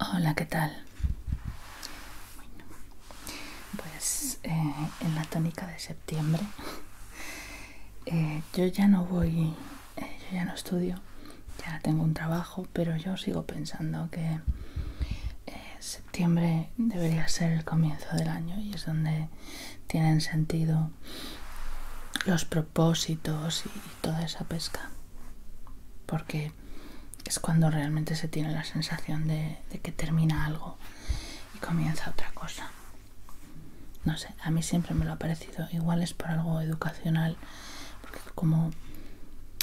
Hola, ¿qué tal? Bueno, pues eh, en la tónica de septiembre eh, yo ya no voy eh, yo ya no estudio, ya tengo un trabajo, pero yo sigo pensando que eh, septiembre debería ser el comienzo del año y es donde tienen sentido los propósitos y, toda esa pesca. Porque es cuando realmente se tiene la sensación de que termina algo y comienza otra cosa. No sé, a mí siempre me lo ha parecido. Igual es por algo educacional, porque como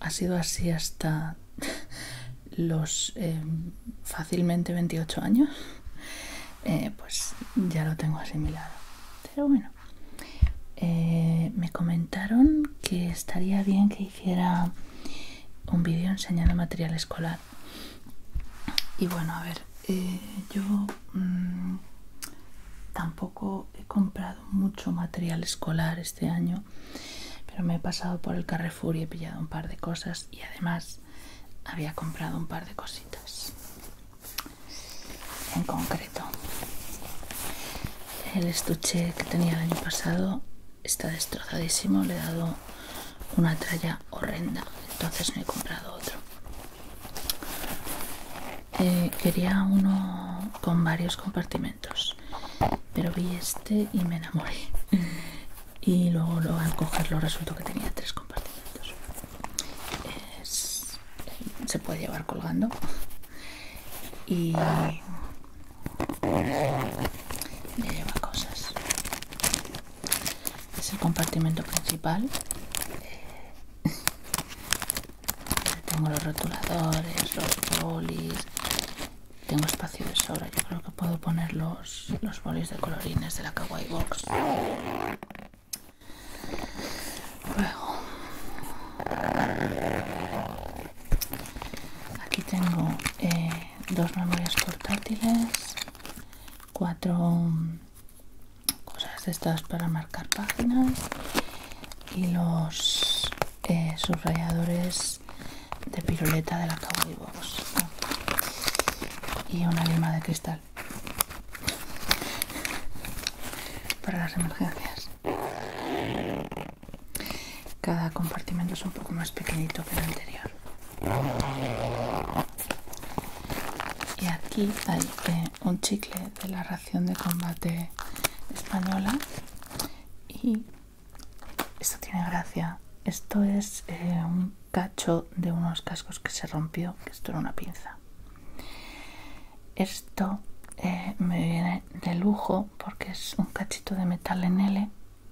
ha sido así hasta los em, fácilmente 28 años, eh, pues ya lo tengo asimilado. Pero bueno, eh, me comentaron que estaría bien que hiciera un vídeo enseñando material escolar. Y bueno, a ver, eh, yo mm, tampoco he comprado mucho material escolar este año pero me he pasado por el Carrefour y he pillado un par de cosas y además había comprado un par de cositas en concreto el estuche que tenía el año pasado está destrozadísimo le he dado una tralla horrenda entonces me he comprado otro eh, quería uno con varios compartimentos pero vi este y me enamoré y luego lo, al cogerlo resultó que tenía tres compartimentos eh, se puede llevar colgando y me lleva cosas es el compartimento principal tengo los rotuladores, los bolis. Tengo espacio de sobra. Yo creo que puedo poner los, bolis de colorines de la Kawaii Box. Luego. Aquí tengo eh, dos memorias portátiles, cuatro cosas estas para marcar páginas y los eh, subrayadores de piruleta de la Box y una lima de cristal para las emergencias cada compartimento es un poco más pequeñito que el anterior y aquí hay que eh, un chicle de la ración de combate española y esto tiene gracia esto es eh, un cacho de unos cascos que se rompió que esto era una pinza esto eh, me viene de lujo porque es un cachito de metal en L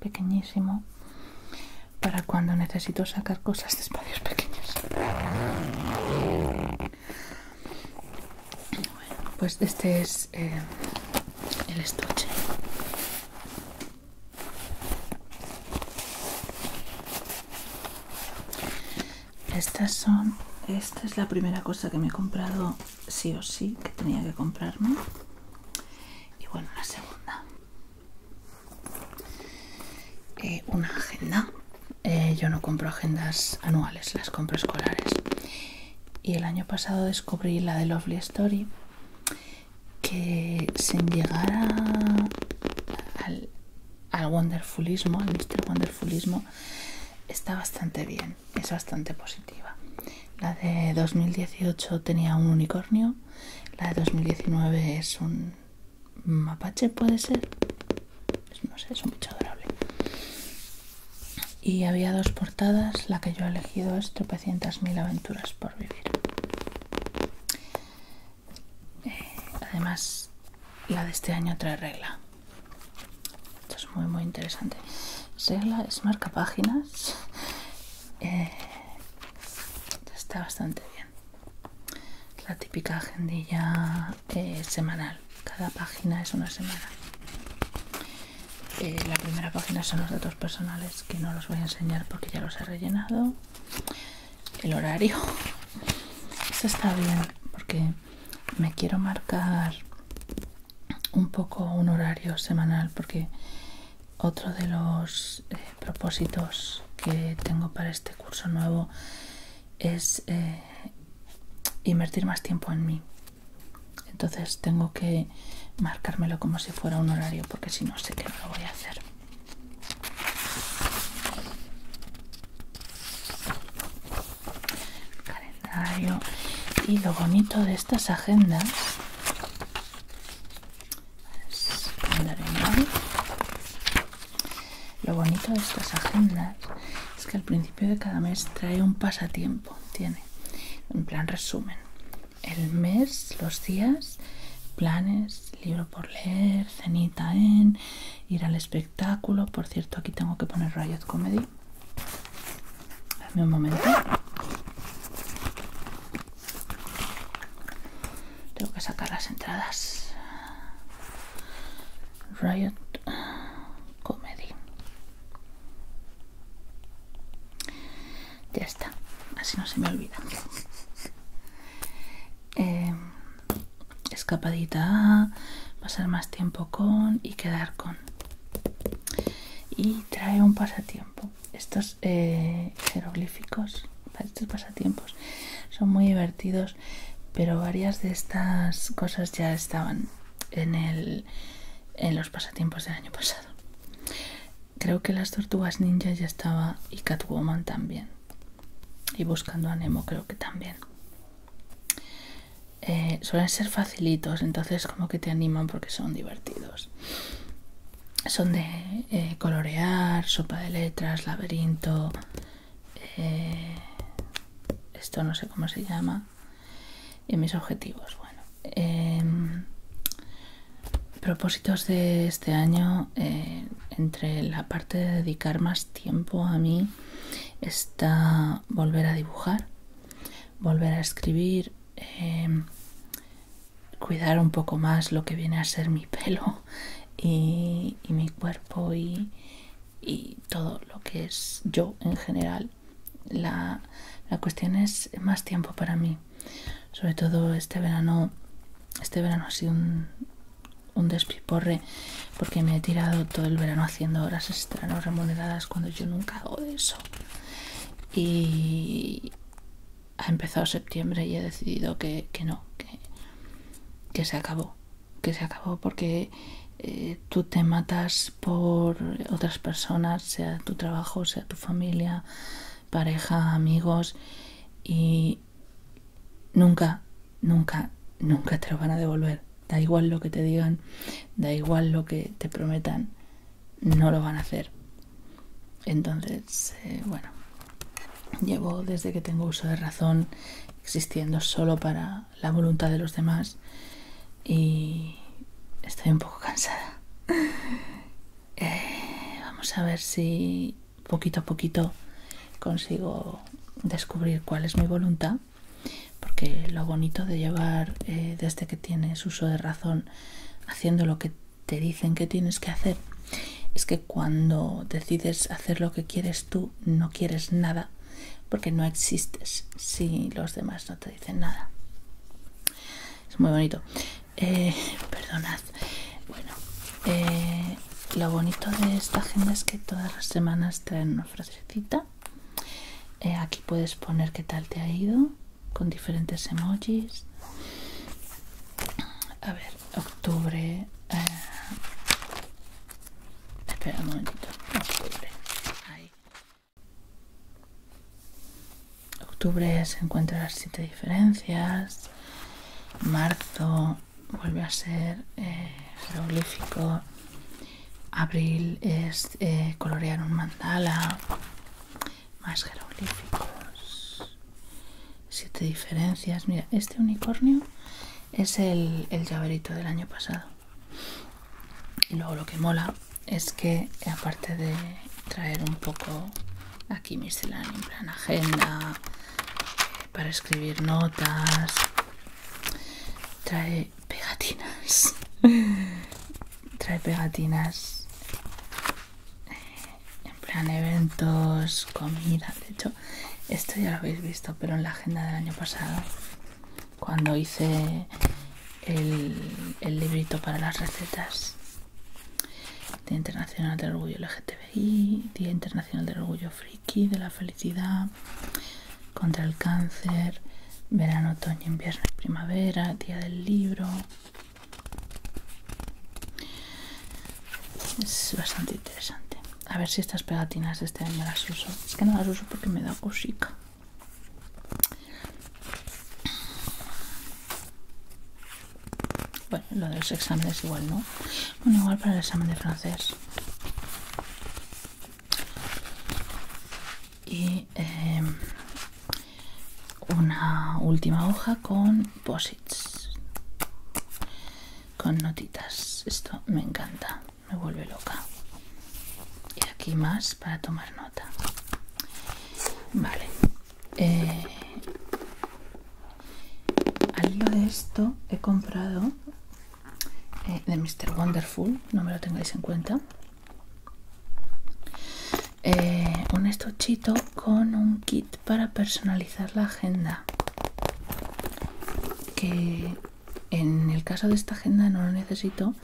pequeñísimo para cuando necesito sacar cosas de espacios pequeños. pues este es eh, el estuche. Estas son, esta es la primera cosa que me he comprado sí o sí, que tenía que comprarme. Y bueno, la segunda. Eh, una agenda. Eh, yo no compro agendas anuales, las compro escolares. Y el año pasado descubrí la de Lovely Story que sin llegar al, al wonderfulismo, al Wonderfulismo, está bastante bien, es bastante positiva. La de 2018 tenía un unicornio, la de 2019 es un mapache puede ser pues no sé es un bicho adorable y había dos portadas la que yo he elegido es tropecientas mil aventuras por vivir eh, además la de este año trae regla esto es muy muy interesante regla es marca páginas eh, está bastante bien la típica agendilla eh, semanal cada página es una semana eh, la primera página son los datos personales que no los voy a enseñar porque ya los he rellenado el horario eso está bien porque me quiero marcar un poco un horario semanal porque otro de los eh, propósitos que tengo para este curso nuevo es eh, invertir más tiempo en mí. Entonces tengo que marcármelo como si fuera un horario porque si no sé que no lo voy a hacer. Calendario. Y lo bonito de estas agendas pues, lo bonito de estas agendas es que al principio de cada mes trae un pasatiempo, tiene un plan resumen el mes, los días, planes, libro por leer, cenita en, ir al espectáculo. Por cierto, aquí tengo que poner Riot Comedy. Dame un momento. Tengo que sacar las entradas. Riot Comedy. Ya está, así no se me olvida. Em, escapadita pasar más tiempo con y quedar con. Y trae un pasatiempo estos eh, jeroglíficos para estos pasatiempos son muy divertidos pero varias de estas cosas ya estaban en, el, en los pasatiempos del año pasado creo que las tortugas ninja ya estaba y catwoman también y buscando a Nemo creo que también eh, suelen ser facilitos entonces como que te animan porque son divertidos son de eh, colorear, sopa de letras, laberinto, eh, esto no sé cómo se llama, y mis objetivos. Bueno, em, propósitos de este año, eh, entre la parte de dedicar más tiempo a mí, está volver a dibujar, volver a escribir, em, cuidar un poco más lo que viene a ser mi pelo y, mi cuerpo y, todo lo que es yo en general. La, cuestión es más tiempo para mí. Sobre todo este verano, este verano ha sido un, un despiporre porque me he tirado todo el verano haciendo horas extra no remuneradas cuando yo nunca hago eso. Y, ha empezado septiembre y he decidido que, no, que, se acabó, que se acabó porque eh, tú te matas por otras personas, sea tu trabajo, sea tu familia, pareja, amigos y nunca, nunca, nunca te lo van a devolver. Da igual lo que te digan, da igual lo que te prometan, no lo van a hacer. Entonces, eh, bueno, llevo desde que tengo uso de razón existiendo solo para la voluntad de los demás y estoy un poco cansada. Eh, vamos a ver si poquito a poquito consigo descubrir cuál es mi voluntad, porque lo bonito de llevar eh, desde que tienes uso de razón haciendo lo que te dicen que tienes que hacer es que cuando decides hacer lo que quieres tú no quieres nada porque no existes si los demás no te dicen nada es muy bonito eh, perdonad bueno eh, lo bonito de esta agenda es que todas las semanas traen una frasecita eh, aquí puedes poner qué tal te ha ido con diferentes emojis a ver octubre eh, espera un momentito octubre Ahí. octubre se encuentra las siete diferencias marzo vuelve a ser eh, jeroglífico abril es eh, colorear un mandala más jeroglíficos siete diferencias mira este unicornio es el, llaverito del año pasado y luego lo que mola es que aparte de traer un poco aquí miscelánea en plan agenda eh, para escribir notas trae pegatinas trae pegatinas en plan eventos, comida. De hecho, esto ya lo habéis visto, pero en la agenda del año pasado, cuando hice el, el librito para las recetas. Día Internacional del Orgullo LGTBI, Día Internacional del Orgullo Friki, de la Felicidad, contra el Cáncer, Verano, Otoño, Invierno Primavera, Día del Libro, es bastante interesante. A ver si estas pegatinas este año las uso. Es que no las uso porque me da cosica. Bueno, lo de los exámenes igual, ¿no? Bueno, igual para el examen de francés y em, una última hoja con posits con notitas esto me encanta me vuelve loca y aquí más para tomar nota vale eh, al hilo de esto he comprado eh, de Mr. Wonderful no me lo tengáis en cuenta eh, un estuchito con un kit para personalizar la agenda que en el caso de esta agenda no lo necesito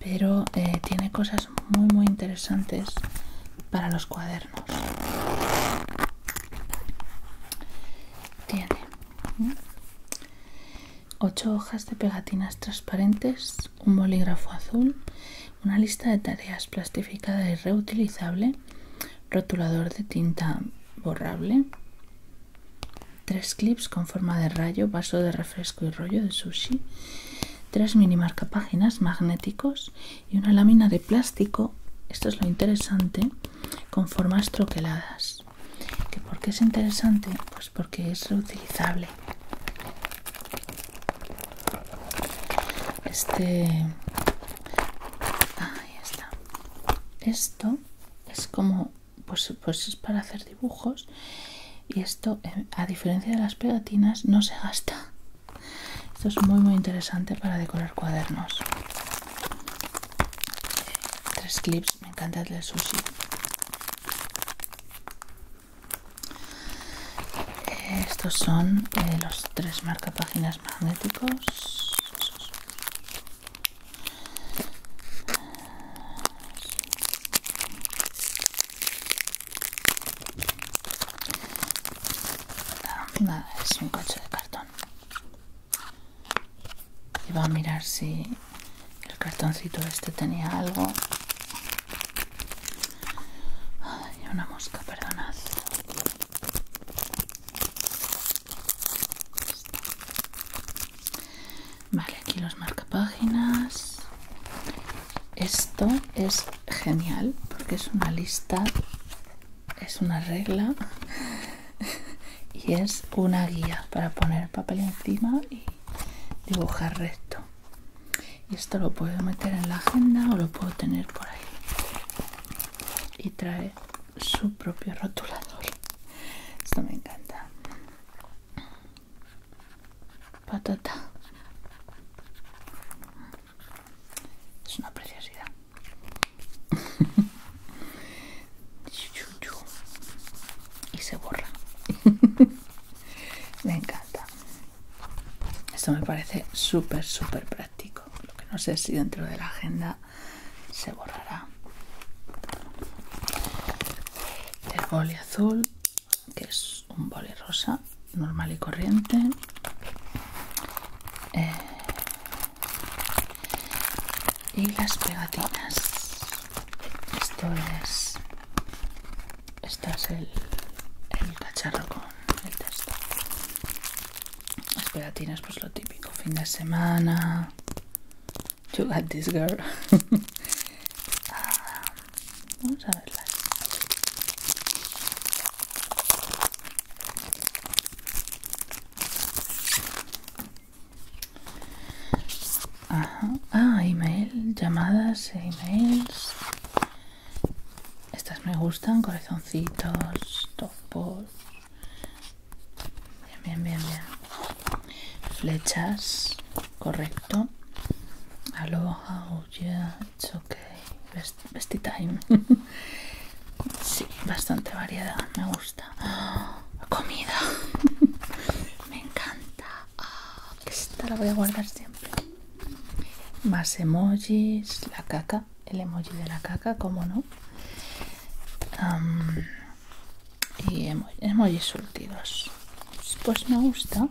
pero eh, tiene cosas muy muy interesantes para los cuadernos tiene ¿Mm? ocho hojas de pegatinas transparentes, un bolígrafo azul, una lista de tareas plastificada y reutilizable, rotulador de tinta borrable, tres clips con forma de rayo, vaso de refresco y rollo de sushi, tres mini marcapáginas magnéticos y una lámina de plástico, esto es lo interesante, con formas troqueladas. ¿Que ¿Por qué es interesante? Pues porque es reutilizable. Este. Ahí está. Esto es como. Pues, pues, es para hacer dibujos. Y esto, eh, a diferencia de las pegatinas, no se gasta. Esto es muy, muy interesante para decorar cuadernos. Tres clips, me encanta el sushi estos son eh, los tres marcapáginas magnéticos. Nada, es un coche de cartón. Y va a mirar si el cartoncito este tenía algo. hay una mosca, perdonad. Vale, aquí los marca páginas. Esto es genial porque es una lista, es una regla y es una guía para poner papel encima y dibujar recto y esto lo puedo meter en la agenda o lo puedo tener por ahí y trae su propio rotulador esto me encanta patata es una preciosidad y se borra Me encanta. Esto me parece súper, súper práctico. Lo que no sé si dentro de la agenda se borrará. El boli azul, que es un boli rosa, normal y corriente. Eh, y las pegatinas esto es. Esto es el, el cacharro con el texto. Las pegatinas, pues lo típico. Fin de semana. You got this girl. Ah, vamos a verla. Ah, Ah, email, llamadas, emails. Estas me gustan, corazoncitos, topos. Bien, bien, bien, bien. Flechas, correcto. Aloha, oh yeah, it's bestie time. sí, bastante variedad, me gusta. comida. me encanta ah, esta la voy a guardar siempre más emojis la caca el emoji de la caca como no y emojis surtidos pues me gusta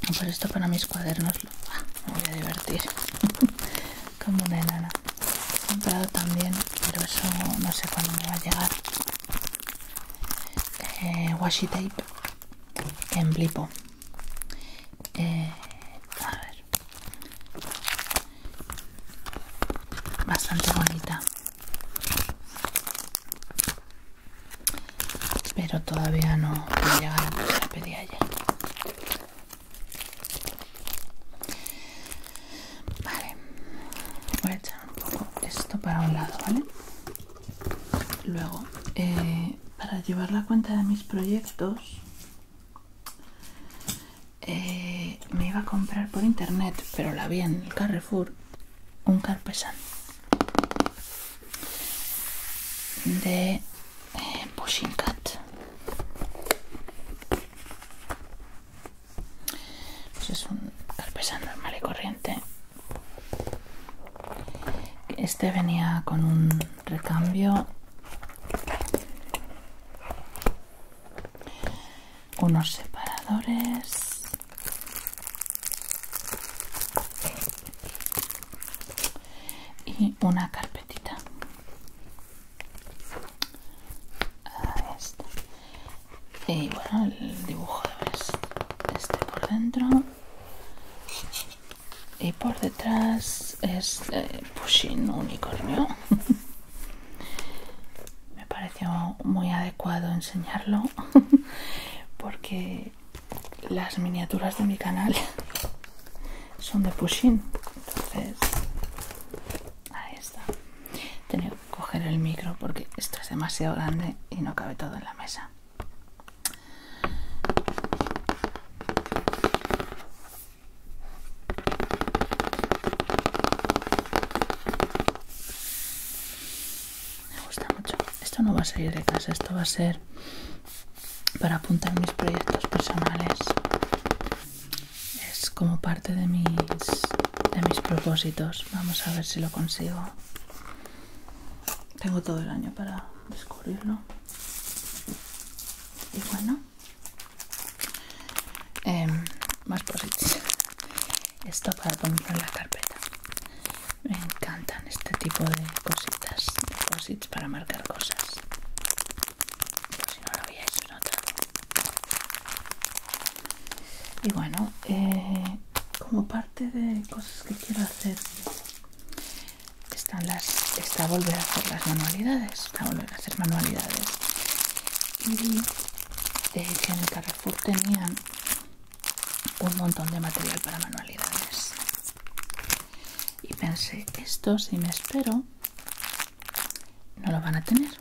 por pues esto para mis cuadernos ah, me voy a divertir como una enana he comprado también pero eso no sé cuándo me va a llegar eh, washi tape en blipo eh, bastante bonita pero todavía no me llega la que pedía Vale, voy a echar un poco esto para un lado, ¿vale? Luego, eh, para llevar la cuenta de mis proyectos, eh, me iba a comprar por internet, pero la vi en el Carrefour, un carpesán de eh, Pushing Cat. Pues es un carpeta normal y corriente este venía con un recambio unos separadores y una carpetita este. y bueno el dibujo es este por dentro y por detrás es eh, Pushin Unicornio me pareció muy adecuado enseñarlo porque las miniaturas de mi canal son de Pushin entonces ahí está coger el micro porque esto es demasiado grande y no cabe todo en la mesa. Me gusta mucho. Esto no va a salir de casa, esto va a ser para apuntar mis proyectos personales es como parte de mis de mis propósitos vamos a ver si lo consigo tengo todo el año para descubrirlo y bueno em, más posits esto para ponerlo en la carpeta me encantan este tipo de cositas posits para marcar cosas Pero pues si no lo veíais otra y bueno eh, como parte de cosas que quiero hacer están las está volver a hacer las manualidades hacer manualidades y vi eh, que en el Carrefour tenían un montón de material para manualidades y pensé esto si me espero no lo van a tener.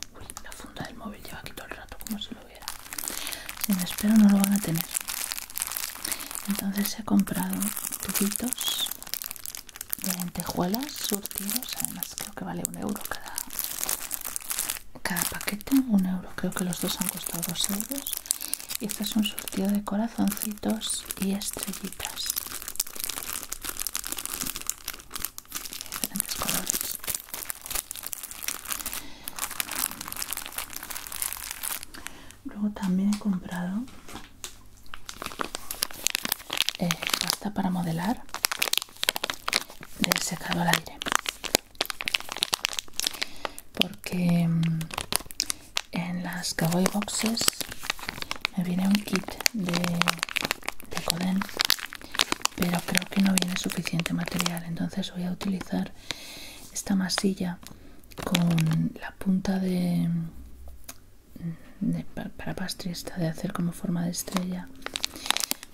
la funda del móvil lleva aquí todo el rato como si lo hubiera. Si espero no lo van a tener. Entonces he comprado tubitos de lentejuelas surtidos. Además creo que vale un euro cada, cada paquete. Un euro. Creo que los dos han costado dos euros. Y este es un surtido de corazoncitos y estrellitas diferentes colores luego también he comprado eh, pasta para modelar del secado al aire porque mm, en las cowboy boxes me viene un kit de de Coden pero creo que no viene suficiente material entonces voy a utilizar esta masilla con la punta de, para pastrista de hacer como forma de estrella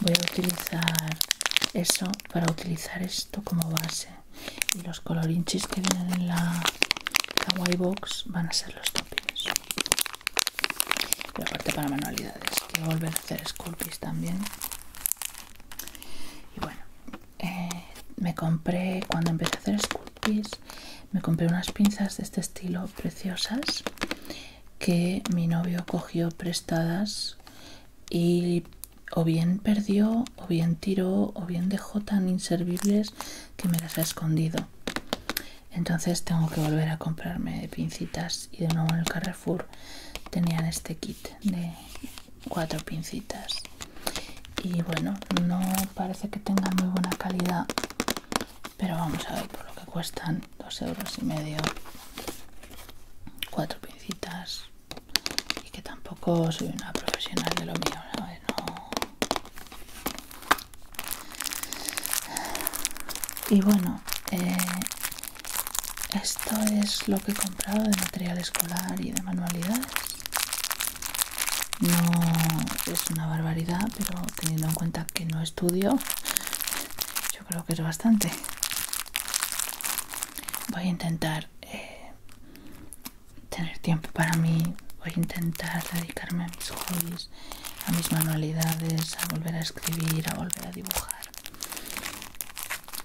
voy a utilizar eso para utilizar esto como base y los colorinchis que vienen en la white box van a ser los toppings la parte para manualidades a volver a hacer sculpies también y bueno eh, me compré cuando empecé a hacer sculpies, me compré unas pinzas de este estilo preciosas que mi novio cogió prestadas y o bien perdió o bien tiró o bien dejó tan inservibles que me las ha escondido entonces tengo que volver a comprarme pincitas y de nuevo en el Carrefour tenían este kit de cuatro pincitas y bueno no parece que tengan muy buena calidad pero vamos a ver por lo que cuestan dos euros y medio cuatro pincitas y que tampoco soy una profesional de lo mío no y bueno eh, esto es lo que he comprado de material escolar y de manualidades no es una barbaridad pero teniendo en cuenta que no estudio yo creo que es bastante voy a intentar eh, tener tiempo para mí voy a intentar dedicarme a mis hobbies a mis manualidades, a volver a escribir, a volver a dibujar.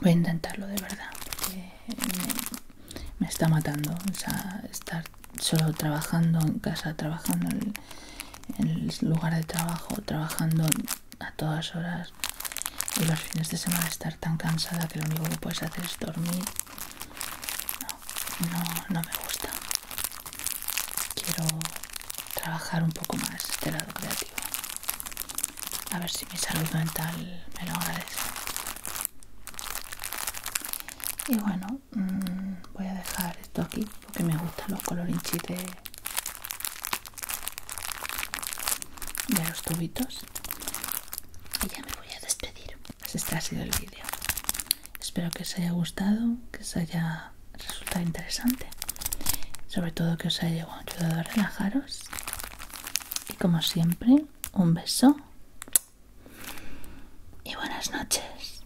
Voy a intentarlo de verdad, porque me, está matando. O estar solo trabajando en casa, trabajando en, el lugar de trabajo, trabajando a todas horas y los fines de semana estar tan cansada que lo único que puedes hacer es dormir. no, no me gusta quiero trabajar un poco más este lado creativo. A ver si mi salud mental me lo agradece. Y bueno, mm, voy a dejar esto aquí porque me gustan los colorinchis de, los tubitos. Y ya me voy a despedir. Pues este ha sido el vídeo. Espero que os haya gustado, que os haya resultado interesante, sobre todo que os haya ayudado a relajaros. Y como siempre, un beso y buenas noches.